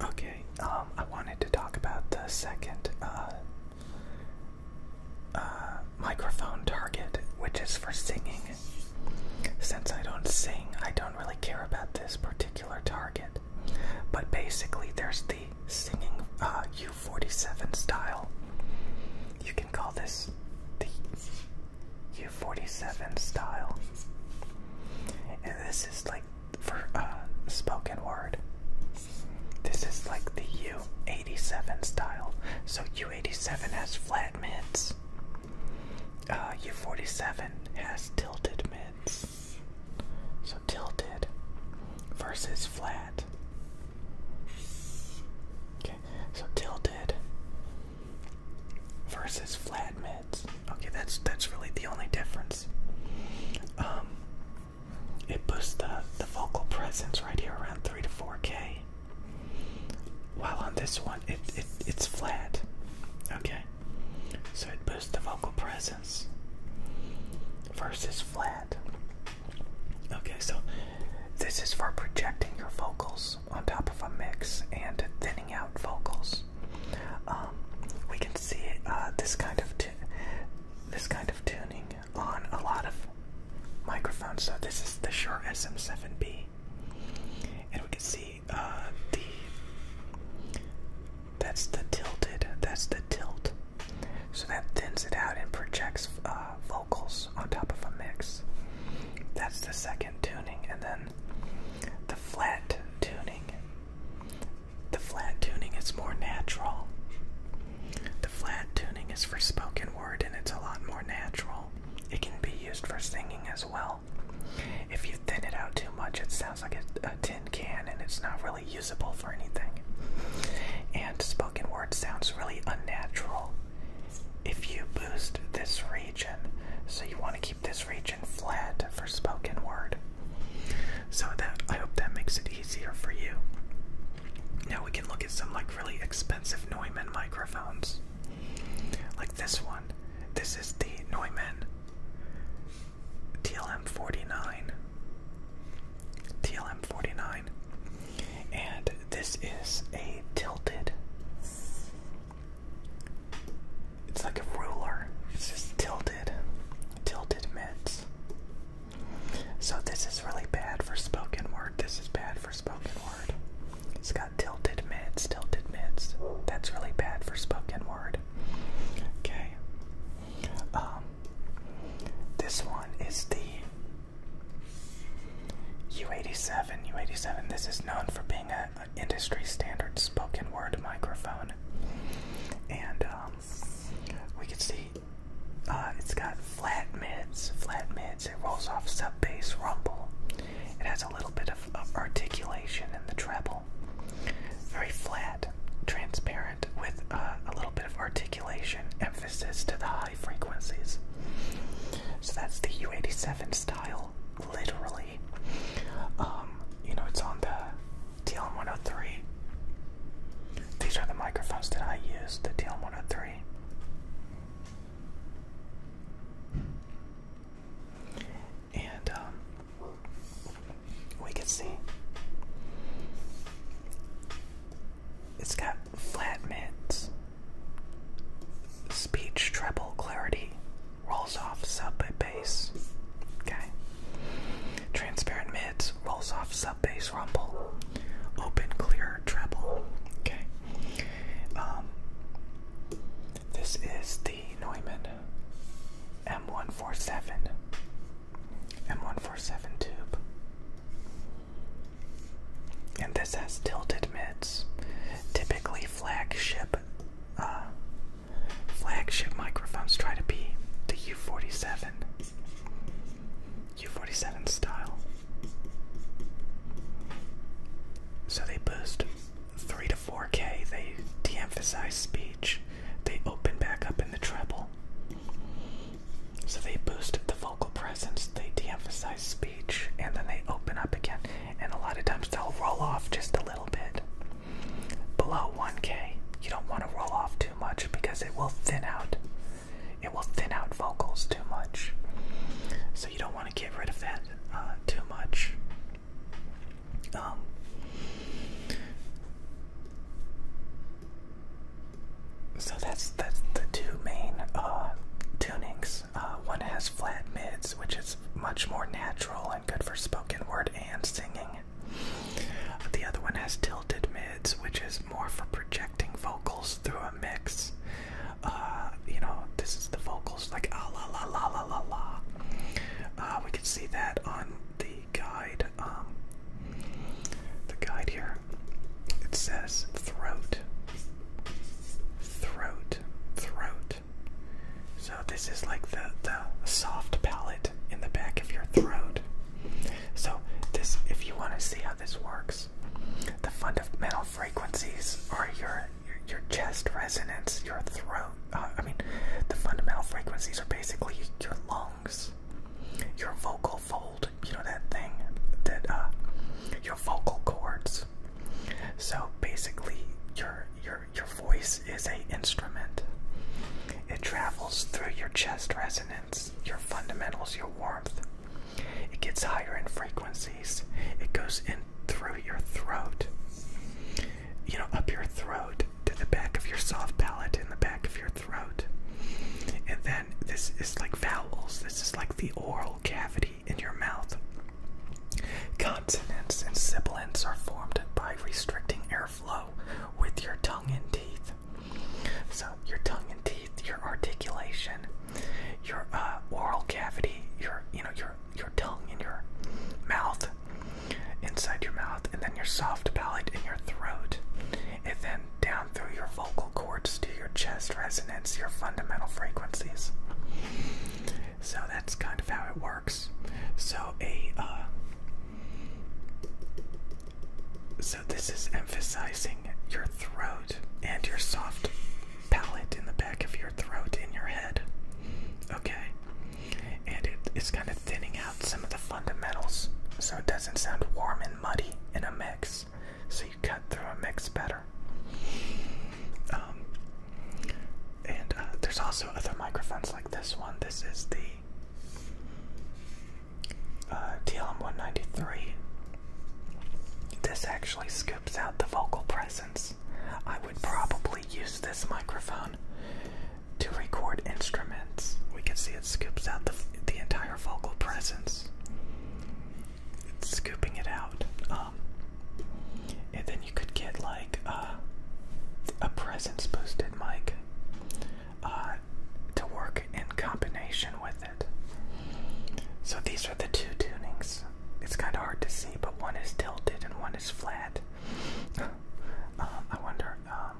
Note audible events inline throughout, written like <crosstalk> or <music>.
Okay, um, I wanted to talk about the second uh, uh, microphone target, which is for singing. Since I don't sing, I don't really care about this particular target. But basically, there's the singing U47 uh, style. You can call this the U47 style. And this is like for uh, spoken word. This is like the U87 style. So U87 has flat mids. U47 uh, has tilted mids. So tilted versus flat. Okay, so tilted versus flat mids. Okay, that's that's really the only difference. Um, it boosts the the vocal presence right here around three to four K. While on this one, it, it it's flat. Okay, so it boosts the vocal presence versus flat. Okay, so this is for projecting your vocals on top of a mix and thinning out vocals. Um, we can see uh, this kind of this kind of tuning on a lot of microphones. So this is the Shure SM7B, and we can see uh, the that's the tilted. That's the tilt. So that thins it out and projects uh, vocals on top of a mix. That's the second tuning, and then the flat tuning. The flat tuning is more natural. The flat tuning is for spoken word and it's a lot more natural. It can be used for singing as well. If you thin it out too much, it sounds like a, tin can and it's not really usable for anything. And spoken word sounds really unnatural. If you boost this region, so you want to keep keep this region flat for spoken word. So that I hope that makes it easier for you. Now we can look at some like really expensive Neumann microphones. Like this one. This is the Neumann TLM49. TLM49. And this is a tilted it's like a ruler. It's just tilted, tilted mids. So this is really bad for spoken word. This is bad for spoken word. It's got tilted mids, tilted mids. That's really bad for spoken word. Okay. Um. This one is the U87. U87. This is known for being a industry standard spoken word microphone, and um, we can see uh, it's got flat mids. Flat mids. It rolls off sub bass rumble. It has a little bit of, articulation in the treble. Very flat, transparent, with uh, a little bit of articulation, emphasis to the high frequencies. So that's the U87 style literally. Um, you know, it's on the TLM103. These are the microphones that I use, the TLM103. And um, we can see it's got flat mids Speech treble clarity rolls off sub bass. Okay. Transparent mids rolls off sub bass rumble. Open clear treble. Okay. Um, this is the Neumann M147. M147 tube. And this has tilted mids. Typically, flagship uh, flagship microphones try to be the U47 U47 style. So they boost 3 to 4K, they de emphasize speech, they open back up in the treble. So they boost the vocal presence, they de emphasize speech and then they open up again. And a lot of times they'll roll off just a little bit. Below 1K, you don't want to roll off too much because it will thin out. It will thin out vocals too much. So you don't want to get rid of that uh, too much. Um, so that's that's the two main uh, tunings. Uh, one has has flat mids, which is much more natural and good for spoken word and singing. The other one has tilted mids, which is more for projecting vocals through a mix. Uh, you know, this is the vocals like ah la la la la la la. Uh, we can see that on the guide. Um, the guide here. It says throat throat, throat. So this is like the the soft palate in the back of your throat. So this, if you want to see how this works, the fundamental frequencies are your your, chest resonance, your throat. Uh, I mean, the fundamental frequencies are basically your lungs, your vocal fold. You know that thing that uh, your vocal cords. So basically, your your your voice is a instrument. It travels through your chest resonance, your fundamentals, your warmth. It gets higher in frequencies. It goes in through your throat. You know, up your throat to the back of your soft palate in the back of your throat. And then this is like vowels. This is like the oral cavity in your mouth. Consonants and sibilants are formed by restricting airflow with your tongue and teeth. So, your tongue and teeth, your articulation, your uh, oral cavity, your you know your your tongue and your mouth, inside your mouth, and then your soft palate in your throat, and then down through your vocal cords to your chest resonance, your fundamental frequencies. So that's kind of how it works. So a uh, so this is emphasizing your throat and your soft palate in the back of your throat in your head. Okay, and it, it's kind of thinning out some of the fundamentals, so it doesn't sound warm and muddy in a mix so you cut through a mix better. Um, and uh, there's also other microphones like this one. This is the uh, TLM193. This actually scoops out the vocal presence. I would probably use this microphone to record instruments. We can see it scoops out the, the entire vocal presence scooping it out. Um, and then you could get like uh, a presence boosted mic uh, to work in combination with it. So these are the two tunings. It's kind of hard to see, but one is tilted and one is flat. <laughs> Um, I wonder. Um,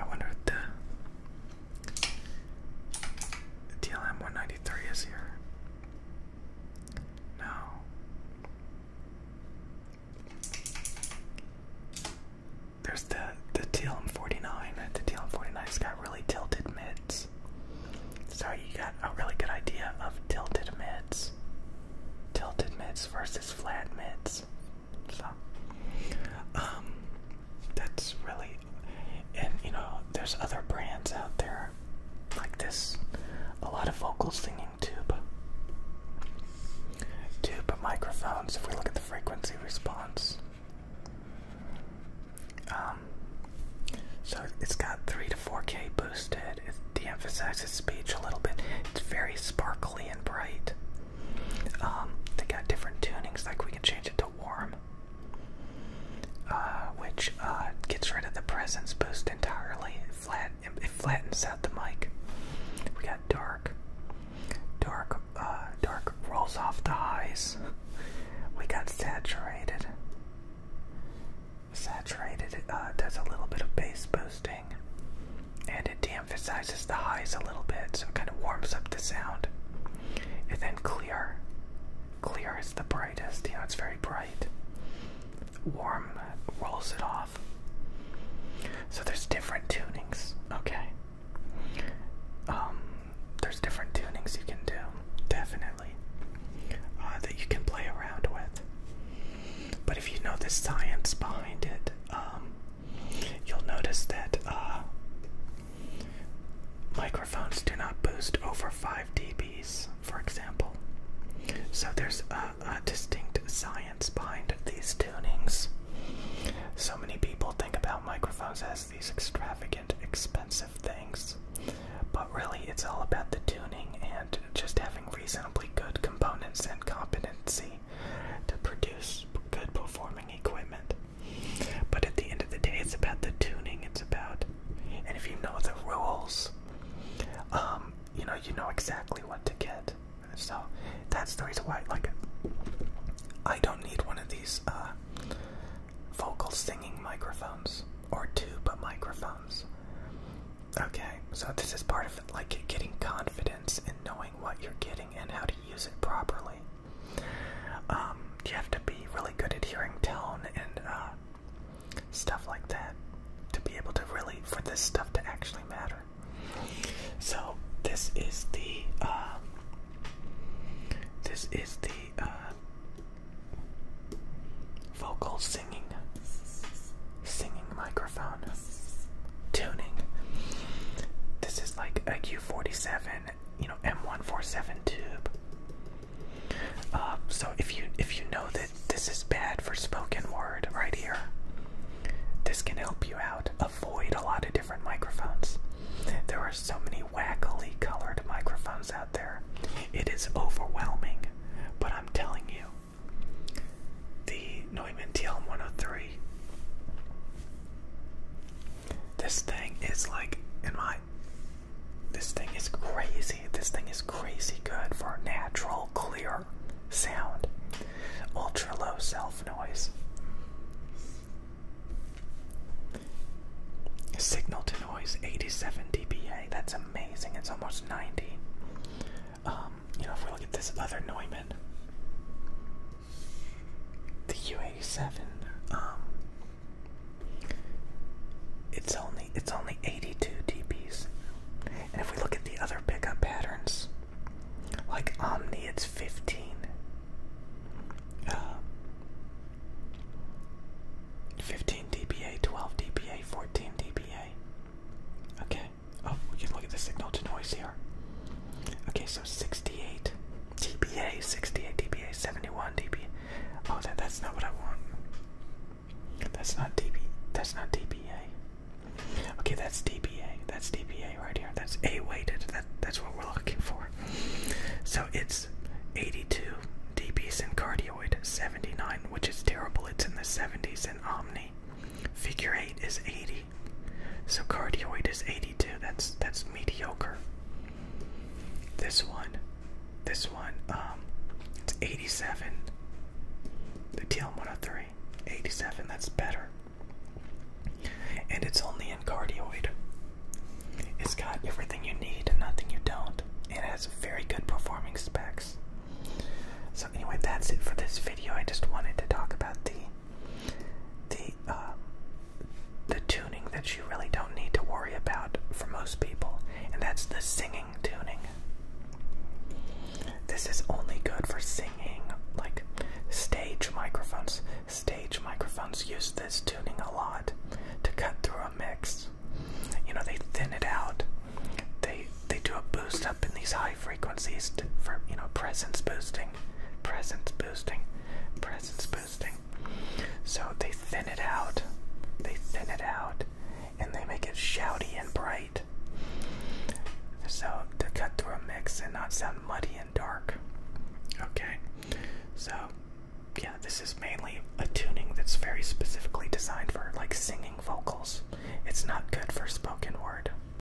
I wonder if the TLM 193 is here. No. There's the the TLM 49. The TLM 49's got really tilted mids. so you got a really good idea of tilted mids. Tilted mids versus flat mids. So, um, that's really and you know there's other brands out there like this a lot of vocal singing tube tube microphones if we look at the frequency response um, so it's got 3 to 4k boosted it de-emphasizes speech a little bit it's very sparkly and bright um, they got different tunings like we can change it to warm, uh, which uh, gets rid of the presence boost entirely. It, flat, it flattens out the mic. We got dark. Dark, uh, dark rolls off the highs. We got saturated. Saturated does a little bit of bass boosting, and it de-emphasizes the highs a little bit, so it kind of warms up the sound and then clear. Clear is the brightest, you know, it's very bright. Warm rolls it off. So there's different tunings, okay? Um, there's different tunings you can do, definitely, uh, that you can play around with. But if you know the science behind it, um, You'll notice that uh, microphones do not boost over 5 dBs, for example. So there's a distinct science behind these tunings. So many people think about microphones as these extravagant, expensive things, but really it's all about the tuning and just having reasonably good components and competency to produce good performing equipment. But at the end of the day, it's about the tuning. It's about, and if you know the rules, um, you know you know exactly what to get. So that's the reason why, like, I don't need one of these uh, vocal singing microphones or two, but microphones. Okay, so this is part of like getting confidence in knowing what you're getting and how to use it properly. Um, you have to be really good at hearing tone and uh, stuff like that to be able to really, for this stuff to actually matter. So this is the, uh, this is the uh, vocal singing, singing microphone tuning. This is like a U47 you know M147 tube. Um, so if you if you know that this is bad for spoken word right here, this can help you out. Avoid a lot of different microphones. There are so many wackily colored microphones out there. It is overwhelming, but I'm telling you, the Neumann TL 103 this thing is like in my this thing is crazy. This thing is crazy good for natural clear sound. Ultra low self noise. Signal to noise 87 dBA. That's amazing. It's almost 90. Um, you know, if we look at this other Neumann, the U87 um it's only it's only 82 dpa. And if we look at the other pickup patterns, like Omni it's 15. Uh, 15 dpa, 12 dpa, 14 dpa. Okay. Oh, we can look at the signal to noise here. Okay, so 68 DBA, 68 DBA, 71 DB. Oh, that that's not what I want. That's not DB. That's not DBA. Okay, that's DBA. That's DBA right here. That's A weighted. That that's what we're looking for. So it's 82 DBs in cardioid, 79, which is terrible. It's in the 70s in Omni. Figure 8 is 80. So cardioid is 82. That's that's mediocre. This one, this one, um, it's 87. The TL103, 87. That's better. And it's only in cardioid. It's got everything you need and nothing you don't. It has very good performing specs. So anyway, that's it for this video. I just wanted to talk about the the uh, the tuning that you really don't need to worry about for most people, and that's the singing tuning. This is only good for singing, like stage microphones. Stage microphones use this tuning a lot to cut through a mix. You know, they thin it out. They they do a boost up in these high frequencies for you know presence boosting, presence boosting, presence boosting. So they thin it out, they thin it out, and they make it shouty and bright. So to cut through a mix and not sound muddy and dark. Okay, so yeah, this is mainly a tuning that's very specifically designed for like singing vocals. It's not good for spoken word.